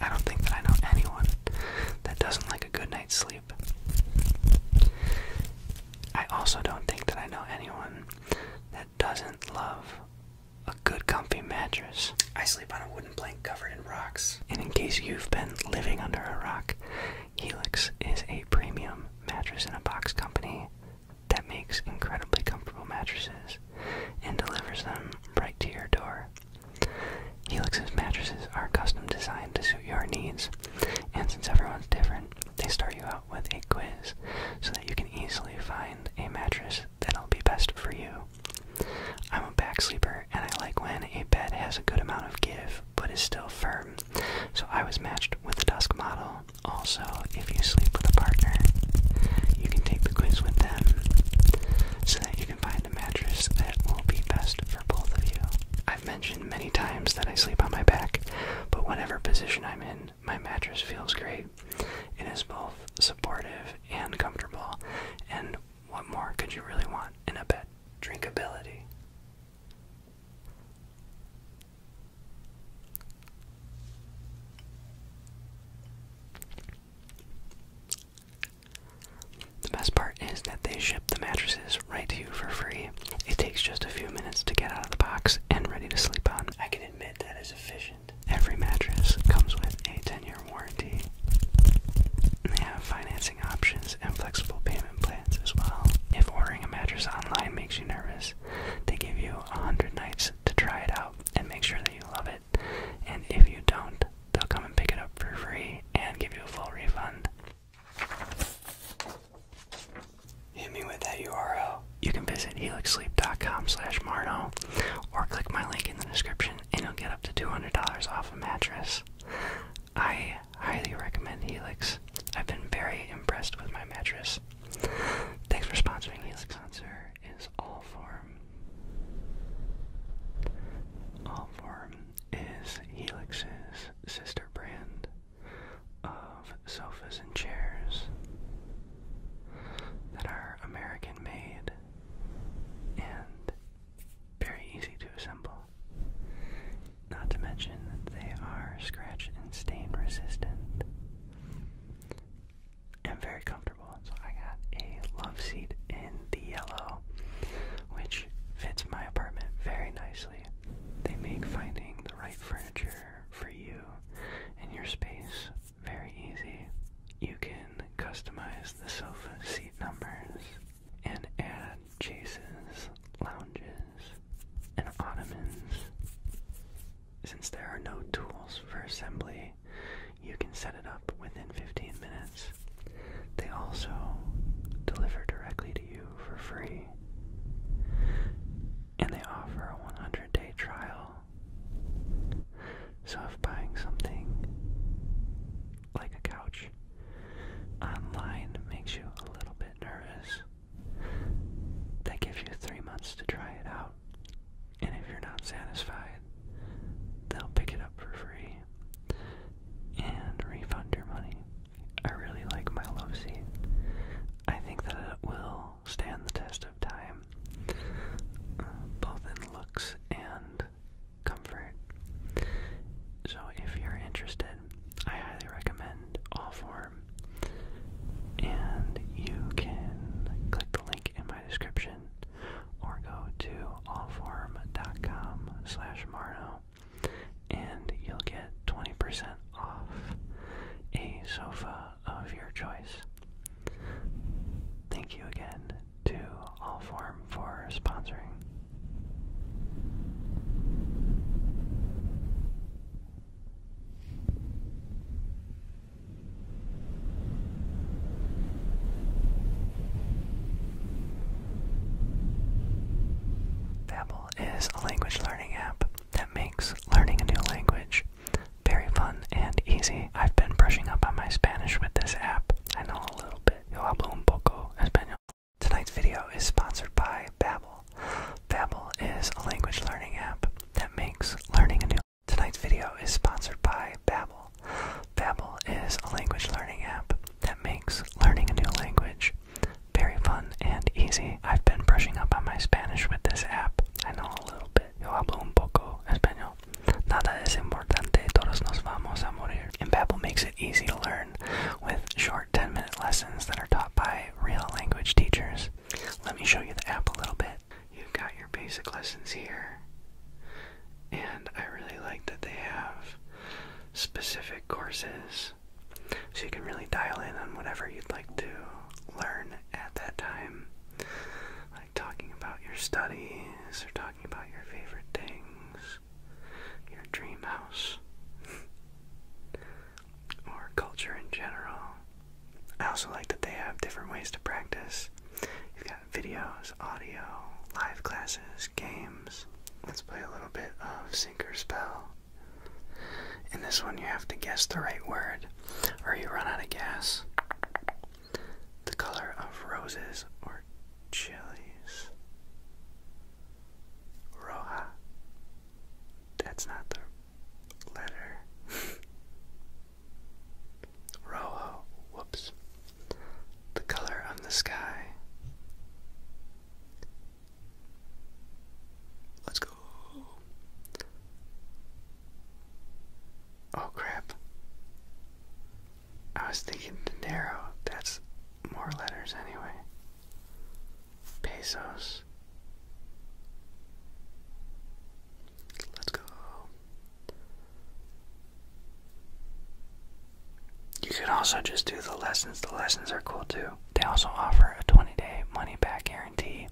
I don't think that I know anyone that doesn't like a good night's sleep. I also don't think that I know anyone that doesn't love a good comfy mattress. I sleep on a wooden plank covered in rocks. And in case you've been living under a rock, Helix is a premium mattress in a box company that makes incredibly comfortable mattresses and delivers them right to your door. Helix's mattresses are custom designed to suit your needs, and since everyone's different, they start you out with a quiz so that you can easily find a mattress that'll be best for you. I'm a back sleeper and I like when a bed has a good amount of give but is still firm, so I was matched with the Dusk model. Also, if you sleep with a partner, you can take the quiz with them so that you can find a mattress that will be best for both of you. I've mentioned many times that I sleep on my back, but whatever position I'm in, my mattress feels great. It is both supportive and comfortable, and what more could you really want in a bed? Drinkability. The best part is that they ship the mattresses right to you for free. It takes just a few minutes to get out of the box and ready to sleep on. I can admit that is efficient. Every mattress comes with a 10-year warranty. they have financing options and flexible payment plans as well. If ordering a mattress online makes you nervous, they give you 100 nights to try it out and make sure that you love it. And if you don't, they'll come and pick it up for free and give you a full refund. Hit me with that URL. You can visit helixsleep.com slash Marno or click my link in the description and you'll get up to $200 off a mattress. I highly recommend Helix. I've been very impressed with my mattress. Thanks for sponsoring Helix Sponsor. Is all form. All form is Helix's sister brand of sofas and chairs that are American made and very easy to assemble. Not to mention that they are scratch and stain resistant am very comfortable. So I got a love seat in the yellow, which fits my apartment very nicely. They make finding the right furniture for you and your space very easy. You can customize the sofa seat numbers and add chases, lounges, and ottomans. Since there are no tools for assembly, you can set it up within 15 minutes. They also deliver directly to you for free. And they offer a 100 day trial. So if buying something like a couch online makes you a little bit nervous, that gives you three months to try it out. And if you're not satisfied, they'll pick it up for free and refund your money. I really like my love I think that it will stand the test of time, uh, both in looks and comfort. So if you're interested, I highly recommend all four and you can click the link in my description or go to allform.com slash Marno and you'll get 20% off a sofa of your choice. Thank you again to Allform for sponsoring. Babbel is a language learning app that makes learning a new language very fun and easy. I've been brushing up on my Spanish with this app. I know a little bit. Yo hablo un poco español. Tonight's video is sponsored by Babbel. Babbel. is a language learning app that makes learning a new. Tonight's video is sponsored by Babbel. Babbel is a language learning app that makes learning a new language very fun and easy. I've been brushing up on my Spanish with this app. I know a little bit. Yo hablo un poco español. Nada es importante, todos nos vamos a morir. And Babbel makes it easy to learn with short 10-minute lessons that are taught by real language teachers. Let me show you the app a little bit. You've got your basic lessons here, and I really like that they have specific courses so you can really dial in on whatever you'd like to learn at that time. Like talking about your studies, or talking about your favorite things, your dream house. or culture in general. I also like that they have different ways to practice. You've got videos, audio, live classes, games. Let's play a little bit of Sink or Spell. In this one, you have to guess the right word or you run out of gas. The color of roses or chilies. Roja. That's not the letter. Rojo. Whoops. The color on the sky. Let's go. Oh crap. I was thinking Dinero. That's more letters anyway pesos. Let's go. You can also just do the lessons. The lessons are cool too. They also offer a 20 day money back guarantee,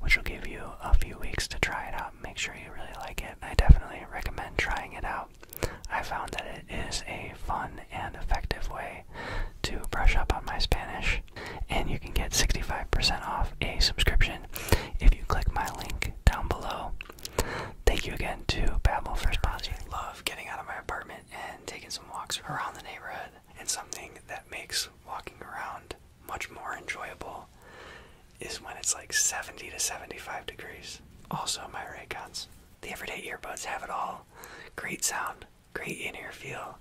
which will give you a few weeks to try it out and make sure you really like it. I definitely recommend trying it out. I found that it is a fun and effective way to brush up on my Spanish. And you can get 65% off a subscription if you click my link down below. Thank you again to Babbel for sponsoring. love getting out of my apartment and taking some walks around the neighborhood. And something that makes walking around much more enjoyable is when it's like 70 to 75 degrees. Also, my Raycons. The everyday earbuds have it all. Great sound, great in inner feel,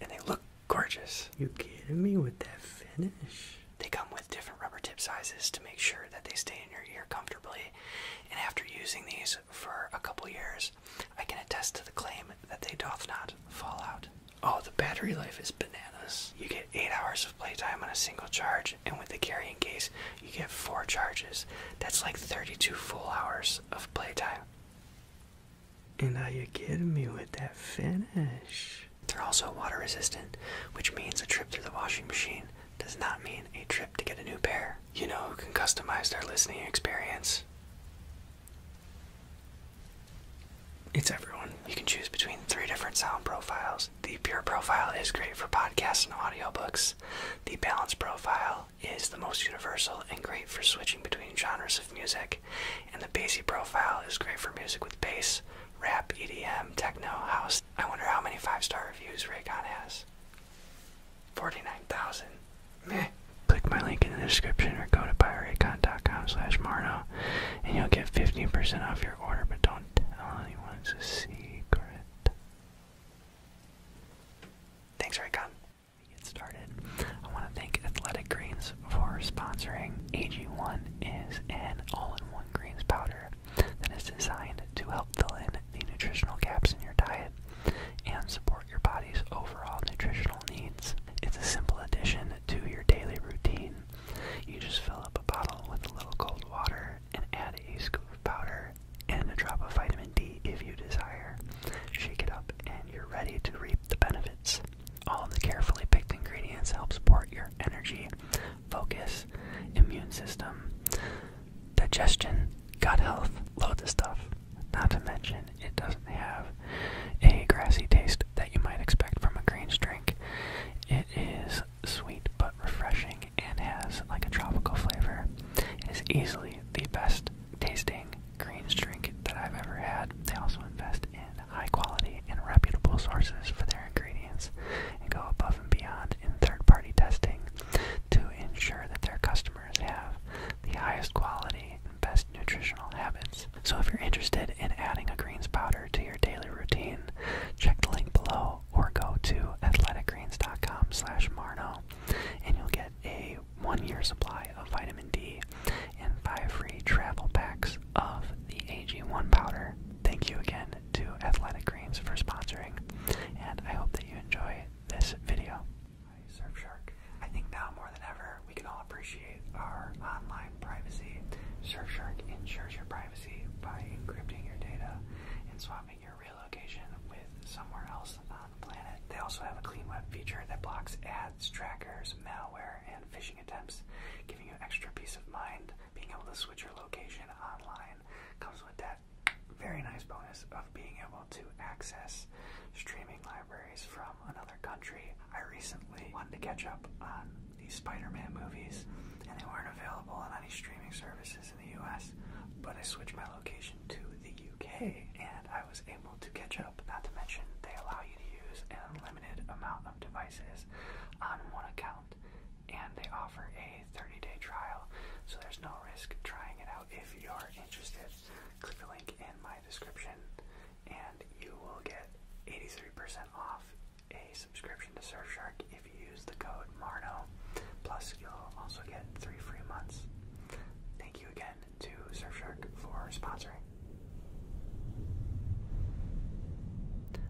and they look gorgeous. You kidding me with that finish? They come with different rubber tip sizes to make sure that they stay in your ear comfortably. And after using these for a couple years, I can attest to the claim that they doth not fall out. Oh, the battery life is bananas. You get 8 hours of playtime on a single charge, and with the carrying case, you get 4 charges. That's like 32 full hours of playtime. And are you kidding me with that finish? They're also water resistant, which means a trip to the washing machine does not mean a trip to get a new pair. You know who can customize their listening experience? It's everyone. You can choose between three different sound profiles. The pure profile is great for podcasts and audiobooks. The balanced profile is the most universal and great for switching between genres of music, and the bassy profile is great for music with bass, rap, EDM, techno, house. I wonder how many five-star reviews Raycon has. 49,000. Meh. Click my link in the description or go to buyraycon.com slash Marno and you'll get 15% off your order, but don't tell anyone it's a secret. Thanks, Raycon we get started, I want to thank Athletic Greens for sponsoring. AG1 is an all-in-one greens powder that is designed to help fill in the nutritional gaps in your diet and support your body's overall nutritional needs. It's a simple addition to your daily routine. You just fill up a bottle with a little cold water and add a scoop of powder and a drop of vitamin D if you desire. Shake it up and you're ready to reap the benefits. All of the carefully picked ingredients help support your energy, focus, immune system, digestion, gut health, loads of stuff. Not to mention, it doesn't have a grassy taste that you might expect from a greens drink. It is sweet but refreshing and has like a tropical flavor. It is easily the best tasting greens drink that I've ever had. They also invest in high quality and reputable sources for their ingredients and go above and beyond in third party testing to ensure that their customers have the highest quality and best nutritional habits. So if you're interested in adding a greens powder to your daily routine, check the link below or go to athleticgreens.com slash Marno and you'll get a one year supply of vitamin D and five free travel packs of the AG1 powder. Thank you again to Athletic Greens for sponsoring, and I hope that you enjoy this video. Hi, Surfshark. I think now more than ever, we can all appreciate our online privacy. Surfshark ensures your privacy by encrypting your data and swapping your relocation with somewhere else on the planet. They also have a clean web feature that blocks ads, trackers, malware, and phishing attempts, giving you extra peace of mind. Being able to switch your location online comes with that very nice bonus of being able to access streaming libraries from another country. I recently wanted to catch up on these Spider-Man movies, and they weren't available on any streaming services in the US, but I switched my location to the UK and I was able to catch up. Not to mention, they allow you to use an unlimited amount of devices on one account and they offer a 30 day trial, so there's no risk trying it out if you are interested. Click the link in my description and you will get 83% off a subscription to Surfshark if you use the code MARNO Plus, you'll also get three free months. Thank you again to Surfshark for sponsoring.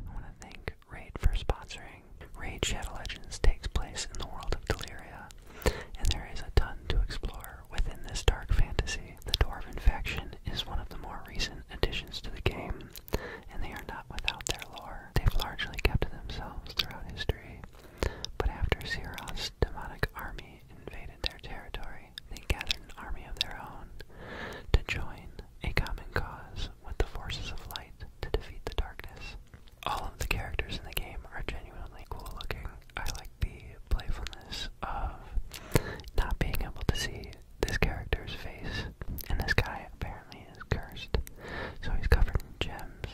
I want to thank Raid for sponsoring. Raid Shadow Legends takes place in the world of Deliria, and there is a ton to explore within this dark fantasy. The Dwarven faction is one of the more recent additions to the game, and they are not without their lore. They've largely kept to themselves throughout history, but after Sirov's demonic army invaded their territory, they gathered an army of their own to join a common cause with the forces of light to defeat the darkness. All of the characters in the game are genuinely cool looking. I like the playfulness of not being able to see this character's face. And this guy apparently is cursed, so he's covered in gems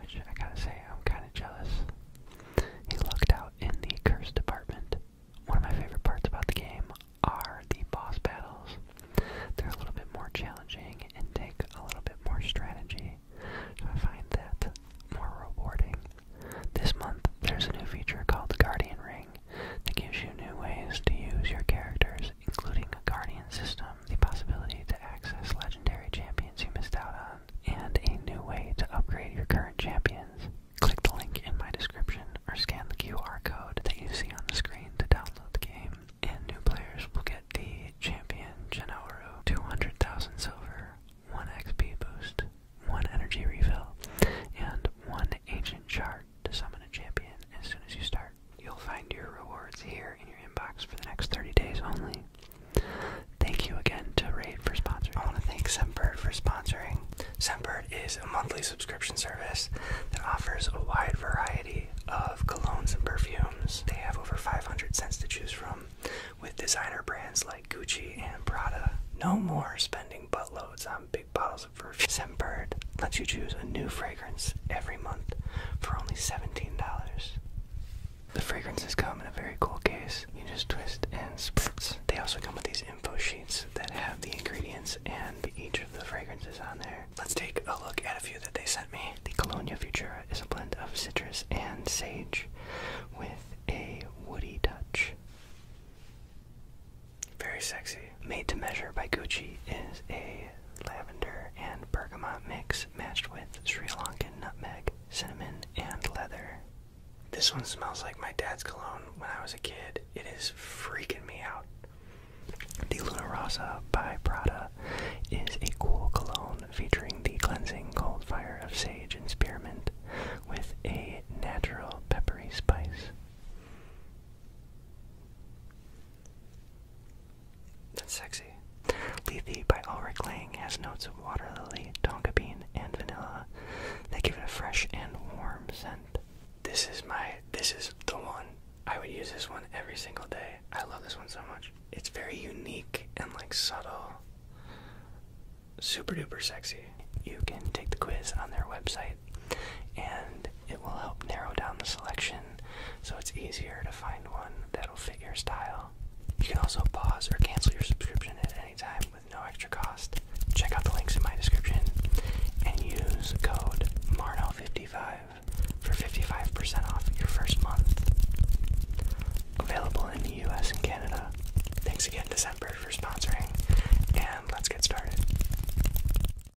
which I gotta say, I'm kinda jealous. He looked out in the curse department. One of my favorite parts about the game are the boss battles. They're a little bit more challenging and take a little bit more strategy, so I find that more rewarding. This month, there's a new feature called the Guardian Ring that gives you new ways to use your characters, including a Guardian system um, the possibility to access legendary champions you missed out on, and a new way to upgrade your current champions. Click the link in my description or scan the QR code that you see on the screen to download the game. And new players will get the champion Genoaru, 200,000 silver, 1 XP boost, 1 energy refill, and 1 ancient chart to summon a champion as soon as you start. You'll find your rewards here in your inbox for the next 30 days only. Thank you again to Raid for sponsoring. I want to thank Sembird for sponsoring. Sembird is a monthly subscription service that offers a wide variety of colognes and perfumes. They have over 500 scents to choose from with designer brands like Gucci and Prada. No more spending buttloads on big bottles of perfume. Sembird lets you choose a new fragrance every month for only $17. The fragrances come in a very cool case. You just twist and spritz. They also come with these info sheets that have the ingredients and each of the fragrances on there. Let's take a look at a few that they sent me. The Colonia Futura is a blend of citrus and sage with a woody touch. Very sexy. Made to Measure by Gucci is a lavender and bergamot mix matched with Sri Lankan nutmeg, cinnamon, and leather. This one smells like my dad's cologne when I was a kid. It is freaking me out. The Luna Rosa by Prada is a cool cologne featuring the cleansing cold fire of sage and spearmint with a natural peppery spice. That's sexy. Lethe by Ulrich Lang has notes of water lily, tonka bean, and vanilla. They give it a fresh and warm scent. This is my this is the one. I would use this one every single day. I love this one so much. It's very unique and like subtle. Super duper sexy. You can take the quiz on their website and it will help narrow down the selection so it's easier to find one that'll fit your style. You can also pause or cancel your subscription at any time with no extra cost. Check out the links in my description and use code MARNO55 for 55% off your first month. Available in the US and Canada. Thanks again to Semper for sponsoring, and let's get started.